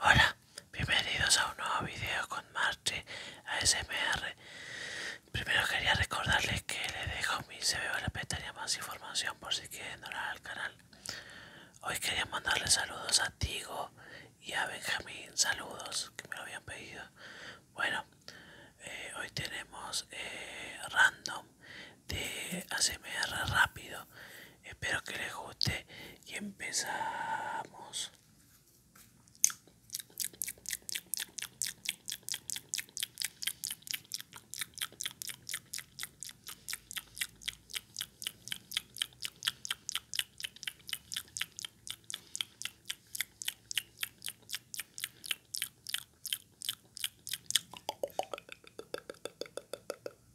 Hola, bienvenidos a un nuevo video con Marche ASMR. Primero quería recordarles que les dejo mi CV o la pestaña más información por si quieren donar al canal. Hoy quería mandarles saludos a Tigo y a Benjamín, saludos que me lo habían pedido. Bueno, eh, hoy tenemos eh, random de ASMR rápido espero que les guste y empezamos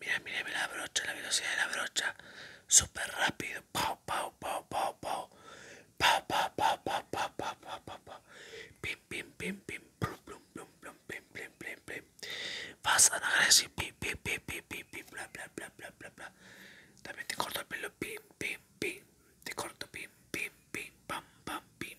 Mira, mira, mira la brocha, la velocidad de la brocha. Súper rápido. Pau, pau, pau, pau, pau. Pau, pau, pau, pau, pau, pau, pau, pau, pau. Vas a Bla, bla, bla, bla, bla, También te corto el pelo. Pim, pim, pim. Te corto. Pim, pim, pim. Pam, pam, pim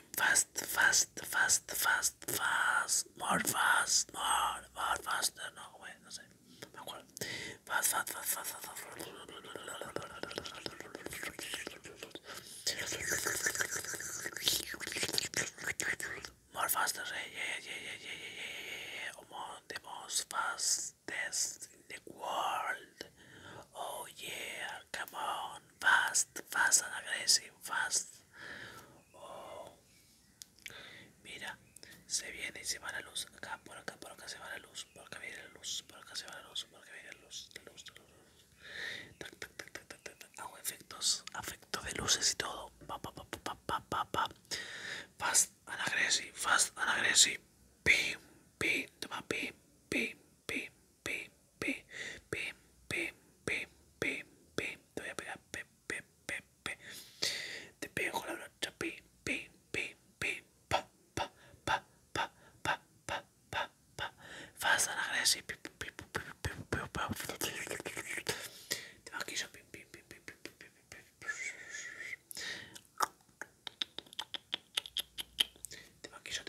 scream fast, fast, fast, fast, fast, more fast, more, more faster, no, wait, no sé, me acuerdo. Fast, fast, fast, fast, fast, fast. More faster, eh, yeah, yeah, yeah, yeah, yeah, yeah, yeah, yeah, among the most fastest in the world. Oh yeah, come on. fast, fast anagresi, fast. Oh. Mira, se viene y se va la luz. Acá, por acá, por acá se va la luz. Por acá viene la luz, por acá se va la luz, por acá viene la luz, la luz, la luz. Tac, tac, tac, efectos, afecto de luces y todo. Pa, pa, pa, pa, Fast anagresi, fast anagresi toma, pim, pim. pim, pim, pim, pim, pim, pim, pim. Te voy a pegar pim, pim, pim, pim. Te pego la brocha, pim, pim, pim, pim, pa, pa, pa, pa, pa, pa, pa, pa. Fast and aggressive, pim, pim, pim, pim, pim, pim, pim. Te maquillo, pim, pim, pim, pim, pim, pim, pim, pim. Te maquillo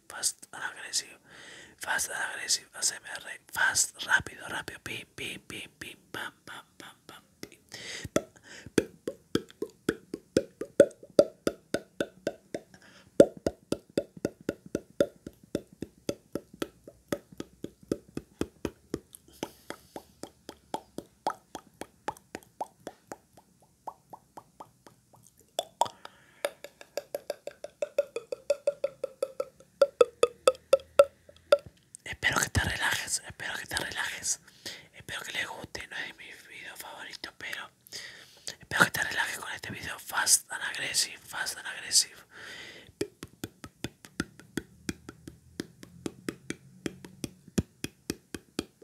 fast agresivo fast agresivo hacemos fast, rápido, rápido, pam, pam, pam, pam, Espero que te relajes, espero que te relajes. Espero que les guste, no es mi mis favorito, pero espero que te relajes con este video fast and aggressive, fast and aggressive.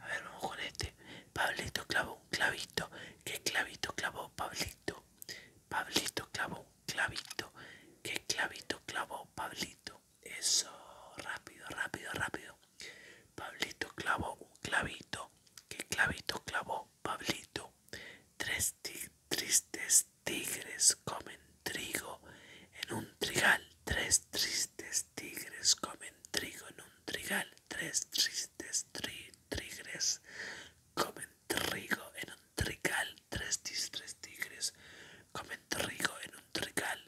a ver, vamos este. Pablito clavó un clavito. que clavito clavó Pablito? Pablito clavó un clavito. que clavito clavó Pablito? Eso, rápido, rápido, rápido. Pablito clavó un clavito. que clavito clavó Pablito? Tres tristes tigres comen trigo en un trigal. Tres tristes tigres comen trigo en un trigal. Tres tristes tigres comen trigo en un trigal. Tres tristes tigres comen trigo en un trigal.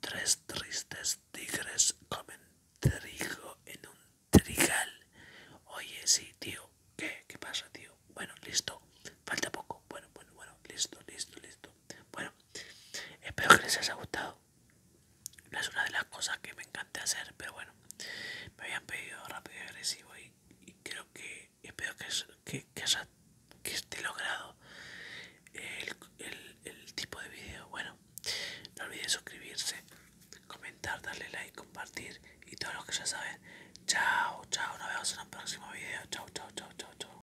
Tres tristes tigres comen trigo en un trigal. Oye, sí, tío. ¿Qué? ¿Qué pasa, tío? Bueno, listo. Falta poco. Bueno, bueno, bueno. Listo, listo, listo. Bueno, Espero que les haya gustado. No es una de las cosas que me encanta hacer, pero bueno, me habían pedido rápido y agresivo y, creo que espero que, que, esté logrado el, tipo de vídeo. Bueno, no olviden suscribirse, comentar, darle like, compartir y todo lo que ya saben. Chao, chao, nos vemos en un próximo vídeo. Chao, chao, chao, chao, chao.